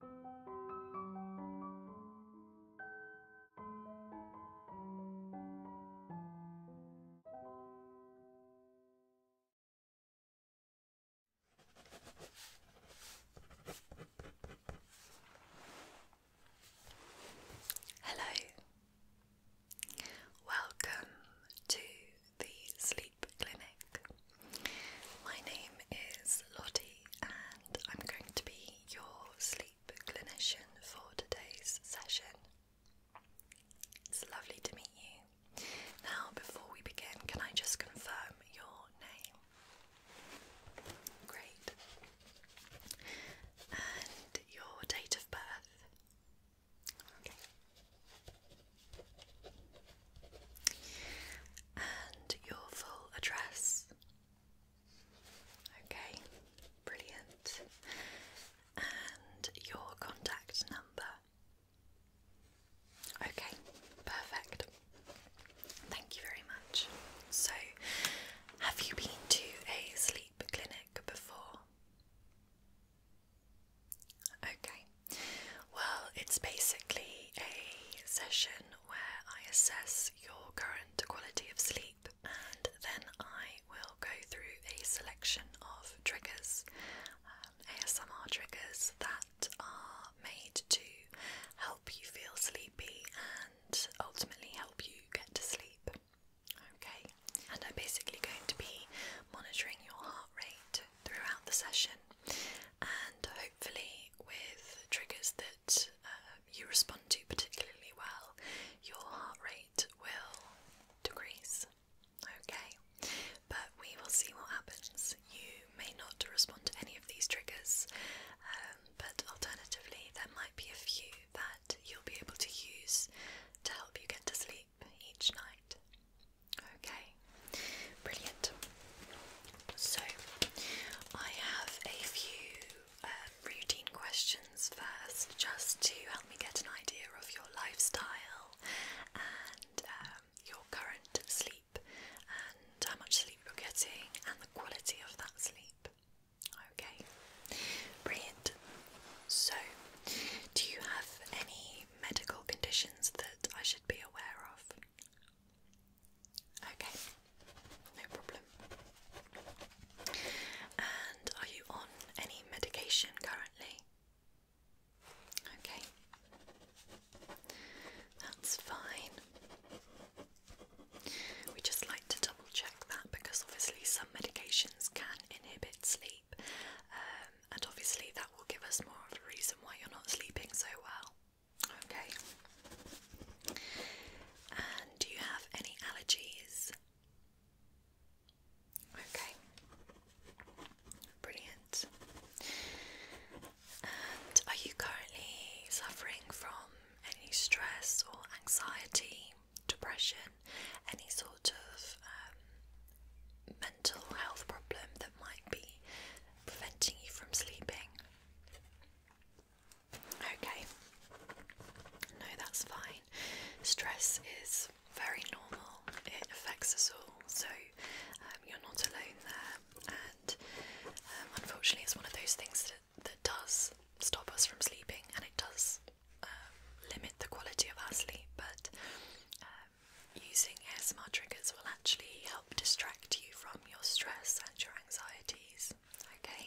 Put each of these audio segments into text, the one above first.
Hello, welcome to the Sleep Clinic. My name is Lottie, and I'm going to be your sleep clinician for today's session. It's lovely to meet you. Now, before we begin, can I just confirm your name? Great. And your date of birth? Okay and your full address. Okay, brilliant. And your contact number. Okay, perfect. Thank you very much. So, have you been to a sleep clinic before? Okay, well, it's basically a session where I assess your current quality of sleep and then I will go through a selection of triggers, um, ASMR triggers that are made to help you feel sleepy and ultimately help you get to sleep. Okay, and I'm basically going to be monitoring your heart rate throughout the session and hopefully, with triggers that uh, you respond to particularly well, your heart rate will decrease. Okay, but we will see what happens. You may not respond to any of these triggers, um, but alternatively, there might be a few that you'll be able to use to help you get to sleep each night. Okay, brilliant. So, I have a few um, routine questions first, just to help me get an idea of your lifestyle and um, your current sleep, and how much sleep you're getting, and the quality of that sleep. Okay, brilliant. So, do you have any medical conditions that I should be aware of? Okay, no problem. And are you on any medication currently? Okay, that's fine. We just like to double check that because obviously some medications can inhibit sleep, um, and obviously that will give us more of a reason why you're not sleeping so well. Okay. And do you have any allergies? Okay. Brilliant. And are you currently suffering from any stress or anxiety, depression, any sort of um, mental health problem that might be preventing you from sleeping? Okay. No, that's fine. Stress is very normal, it affects us all, so um, you're not alone there. And um, unfortunately, it's one of those things that, that does stop us from sleeping and it does um, limit the quality of our sleep. But using ASMR triggers will actually help distract you from your stress and your anxieties. Okay?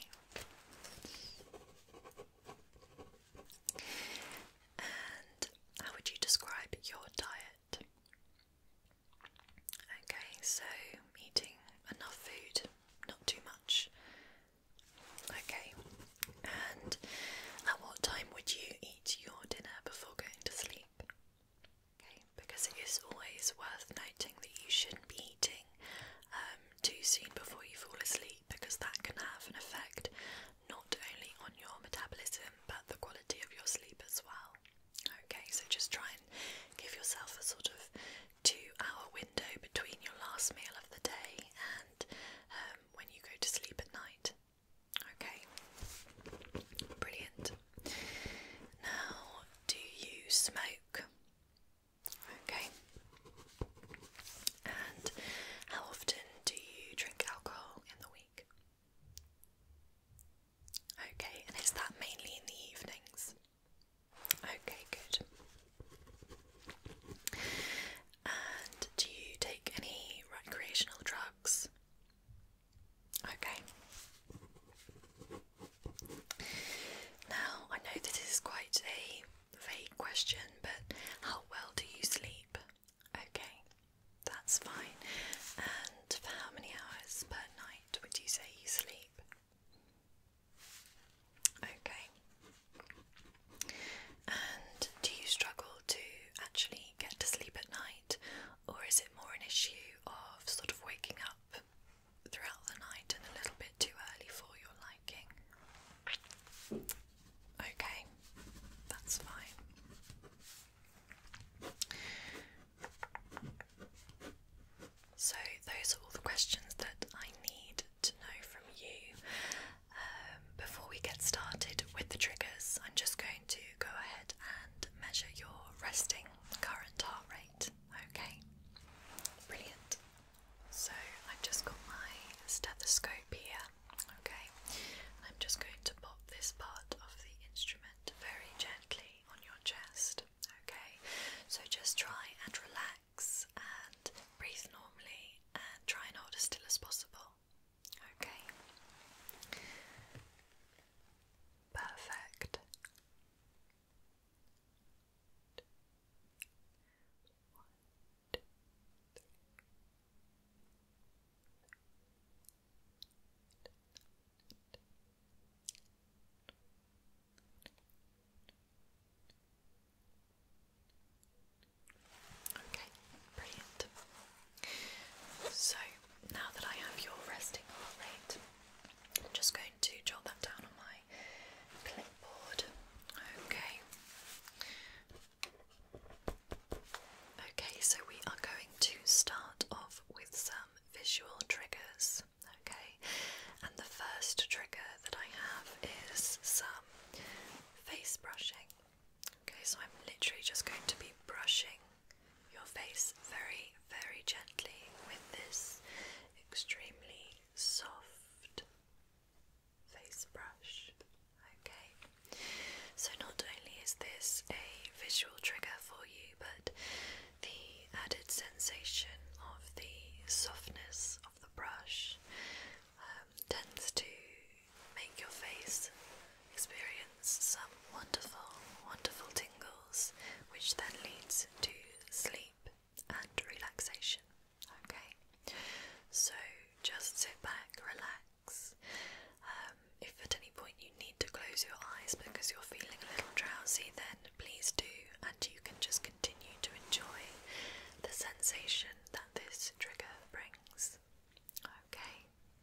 And how would you describe your diet? Okay, so eating enough food, not too much. Okay, and at what time would you eat your dinner before going to sleep? Okay, because it is always worth noting that you shouldn't be eating um, too soon before you fall asleep because that can have an effect not only on your metabolism but the quality of your sleep as well. Okay, so just try and give yourself a sort of two hour window between your last meal of the day and um, when you go to sleep at night. Okay, brilliant. Now, do you smoke? Okay. And how often do you drink alcohol in the week? Okay, and is that mainly in the evenings? Okay, good. And do you take any recreational drugs? Okay. Now, I know this is quite a vague question, but how well do you sleep? Okay, that's fine. And for how many hours per night would you say you sleep? Okay. And do you struggle to actually get to sleep at night, or is it more an issue of sort of waking up throughout the night and a little bit too early for your liking? Okay, that's fine. So, those are all the questions that I need to know from you. Um, before we get started with the triggers, I'm just going to go ahead and measure your resting current heart rate. Okay, brilliant. So I've just got my stethoscope here. Okay, I'm just going to pop this part of the instrument very gently on your chest. Okay, so just try and relax and breathe normally and try not as still as possible. Okay perfect. Okay, brilliant. So now that I have your resting heart rate, I'm just going to jot that down on my clipboard. Okay. Okay, so we are going to start off with some visual triggers. Okay, and the first trigger that I have is some face brushing. Okay, so I'm literally just going to be brushing your face very, very gently with this extremely soft face brush. Okay, so not only is this a visual trigger for you, but the added sensation of the softness of the brush um, tends to make your face experience some wonderful, wonderful tingles, which then leads to sleep and relaxation. Okay, so just sit back, relax. Um, if at any point you need to close your eyes because you're feeling a little drowsy, then please do, and you can just continue to enjoy the sensation that this trigger brings. Okay,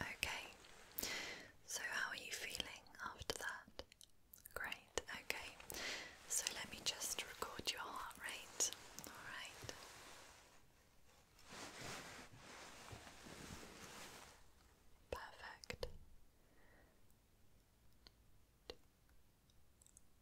Okay, so how are you feeling after that? Great, okay, so let me just record your heart rate, alright. Perfect.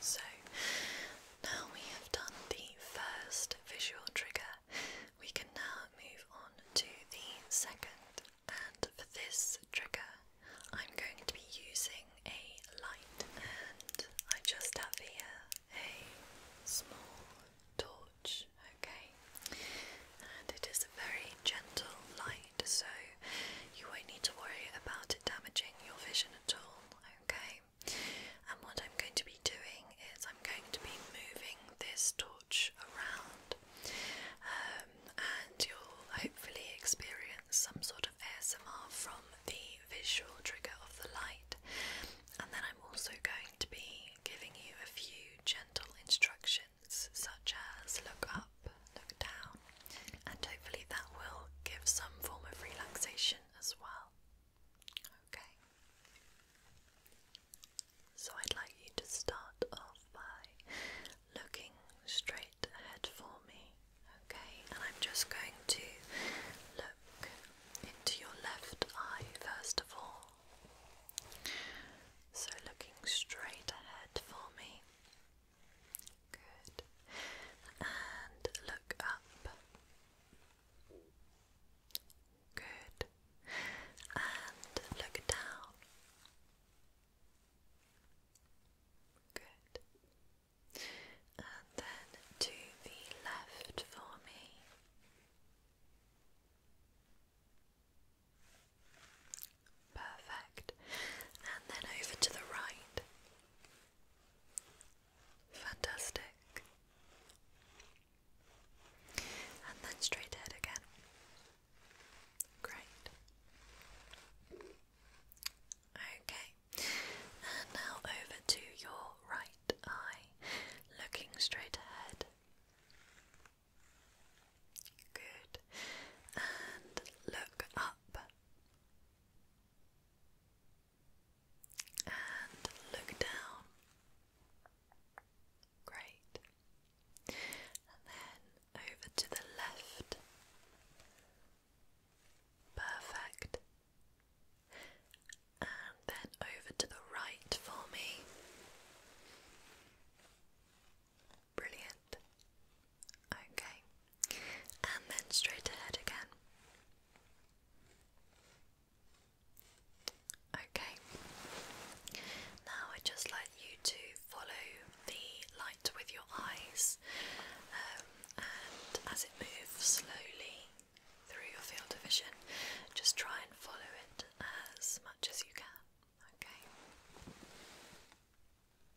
So now we have done the first visual trigger, we can now move on to the second. And for this trigger, I'm going to be using a light, and I just have here a small torch. Okay, and it is a very gentle light, so you won't need to worry about it damaging your vision at all. Okay, and what I'm going to be doing is I'm going to be moving this torch around, um, and you'll hopefully experience some sort of ASMR from the visual trigger of the light. And then I'm also going to be giving you a few gentle instructions, such as look up, look down, and hopefully that will give some form of relaxation as well. Okay. So I'd like you to start off by looking straight ahead for me. Okay, and I'm just going to look into your left eye first of all. So, looking straight ahead for me, Good. And look up. Good. And look down. Good. And then to the left for me. Perfect. And then over to the right. Fantastic. And then straight ahead again. Great. Okay. And now over to your right eye, looking straight ahead. Good. And look up and look down. Great. And then over to the left. Perfect. And then over to the right for me. Brilliant. Okay and then straight ahead again. Okay, now I'd just like you to follow the light with your eyes um, and as it moves slowly through your field of vision, just try and follow it as much as you can. Okay.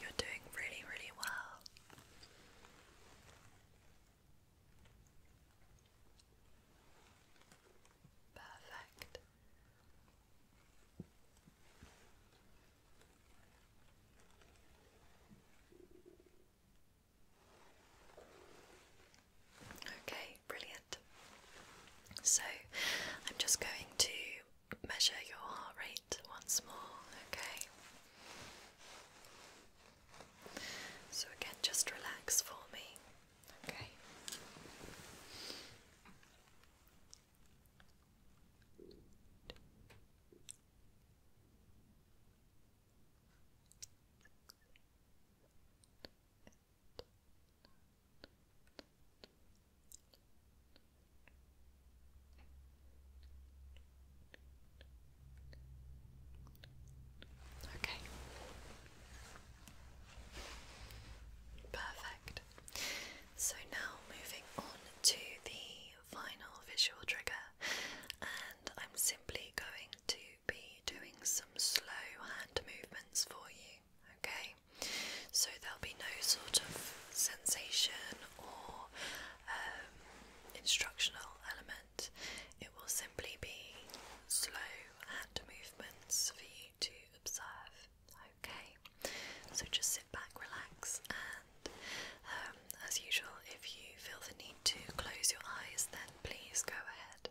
You're doing really, really well. Perfect. Okay, brilliant. So I'm just going to measure your heart rate once more, okay? So again, just relax for me, okay? Okay. Perfect. So now moving on to the final visual trigger, and I'm simply going to be doing some slow hand movements for you, okay? So there'll be no sort of sensation or um, instructional element, it will simply be slow hand movements for you to observe, okay? So just sit back, relax, and um, as usual, if you feel the need to close your eyes, then please go ahead.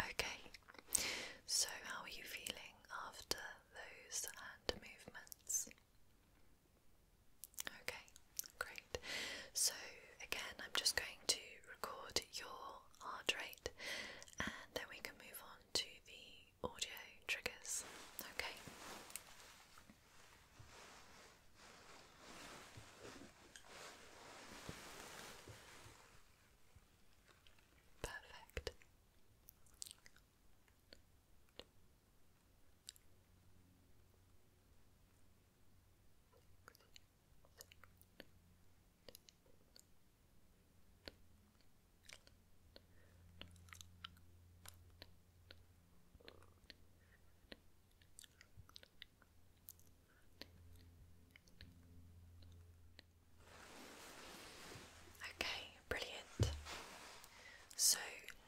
Okay, so how are you feeling after those hand movements? Okay, great. So, again, I'm just going to record your rate, and then we can move on to the audio triggers. Okay. Perfect. Okay, brilliant. So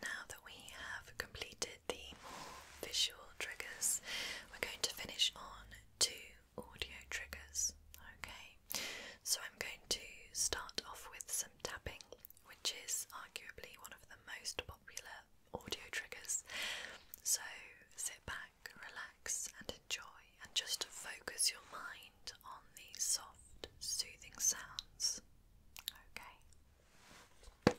now that we have completed the more visual triggers, we're going to finish on two audio triggers. Okay, so I'm going to start off with some tapping, which is arguably one of the most popular audio triggers. So sit back, relax, and enjoy, and just focus your mind on these soft, soothing sounds. Okay.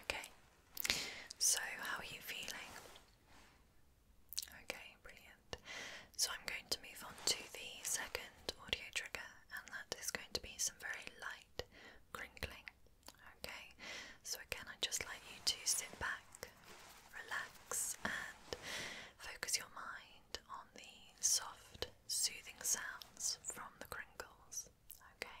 Okay, so how are you feeling? Okay, brilliant. So I'm going to move on to the second audio trigger, and that is going to be some very light crinkling. Okay, so again, I'd just like you to sit back, relax, and focus your mind on the soft, soothing sounds from the crinkles. Okay.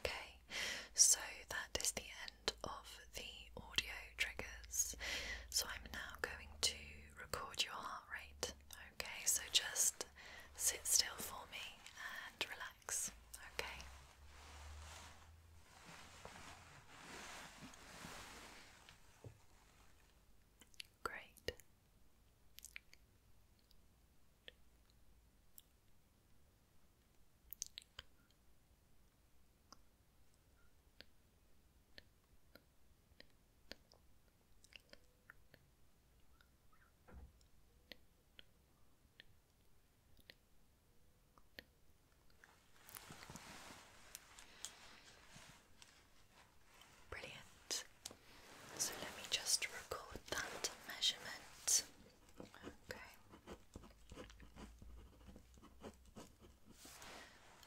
Okay, so that is the end of the audio triggers. So I'm now going to record your heart rate. Okay, so just sit still for me and relax. Okay. Great. Brilliant. So let me just record that measurement.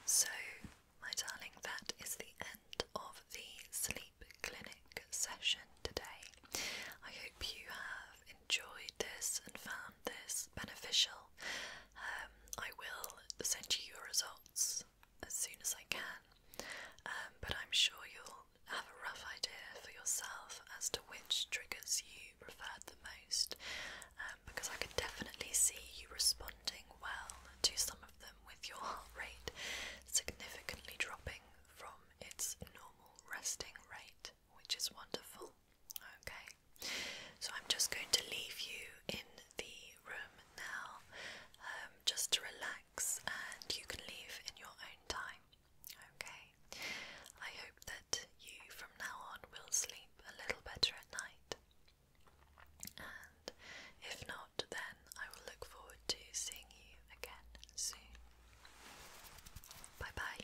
So, my darling, that is the end of the sleep clinic session today. I hope you have enjoyed this and found this beneficial. Um, I will send you your results as soon as I can, um, but I'm sure you'll have a rough idea for yourself as to which triggers you preferred the most, um, because I could definitely see you responding well to some of them with your heart rate significantly dropping from its normal resting rate, which is wonderful. Okay, so I'm just going to leave you in the room now um, just to relax, and you can leave in your own time. Okay. I hope that you from now on will sleep a little better at night. And if not, then I will look forward to seeing you again soon. Bye bye.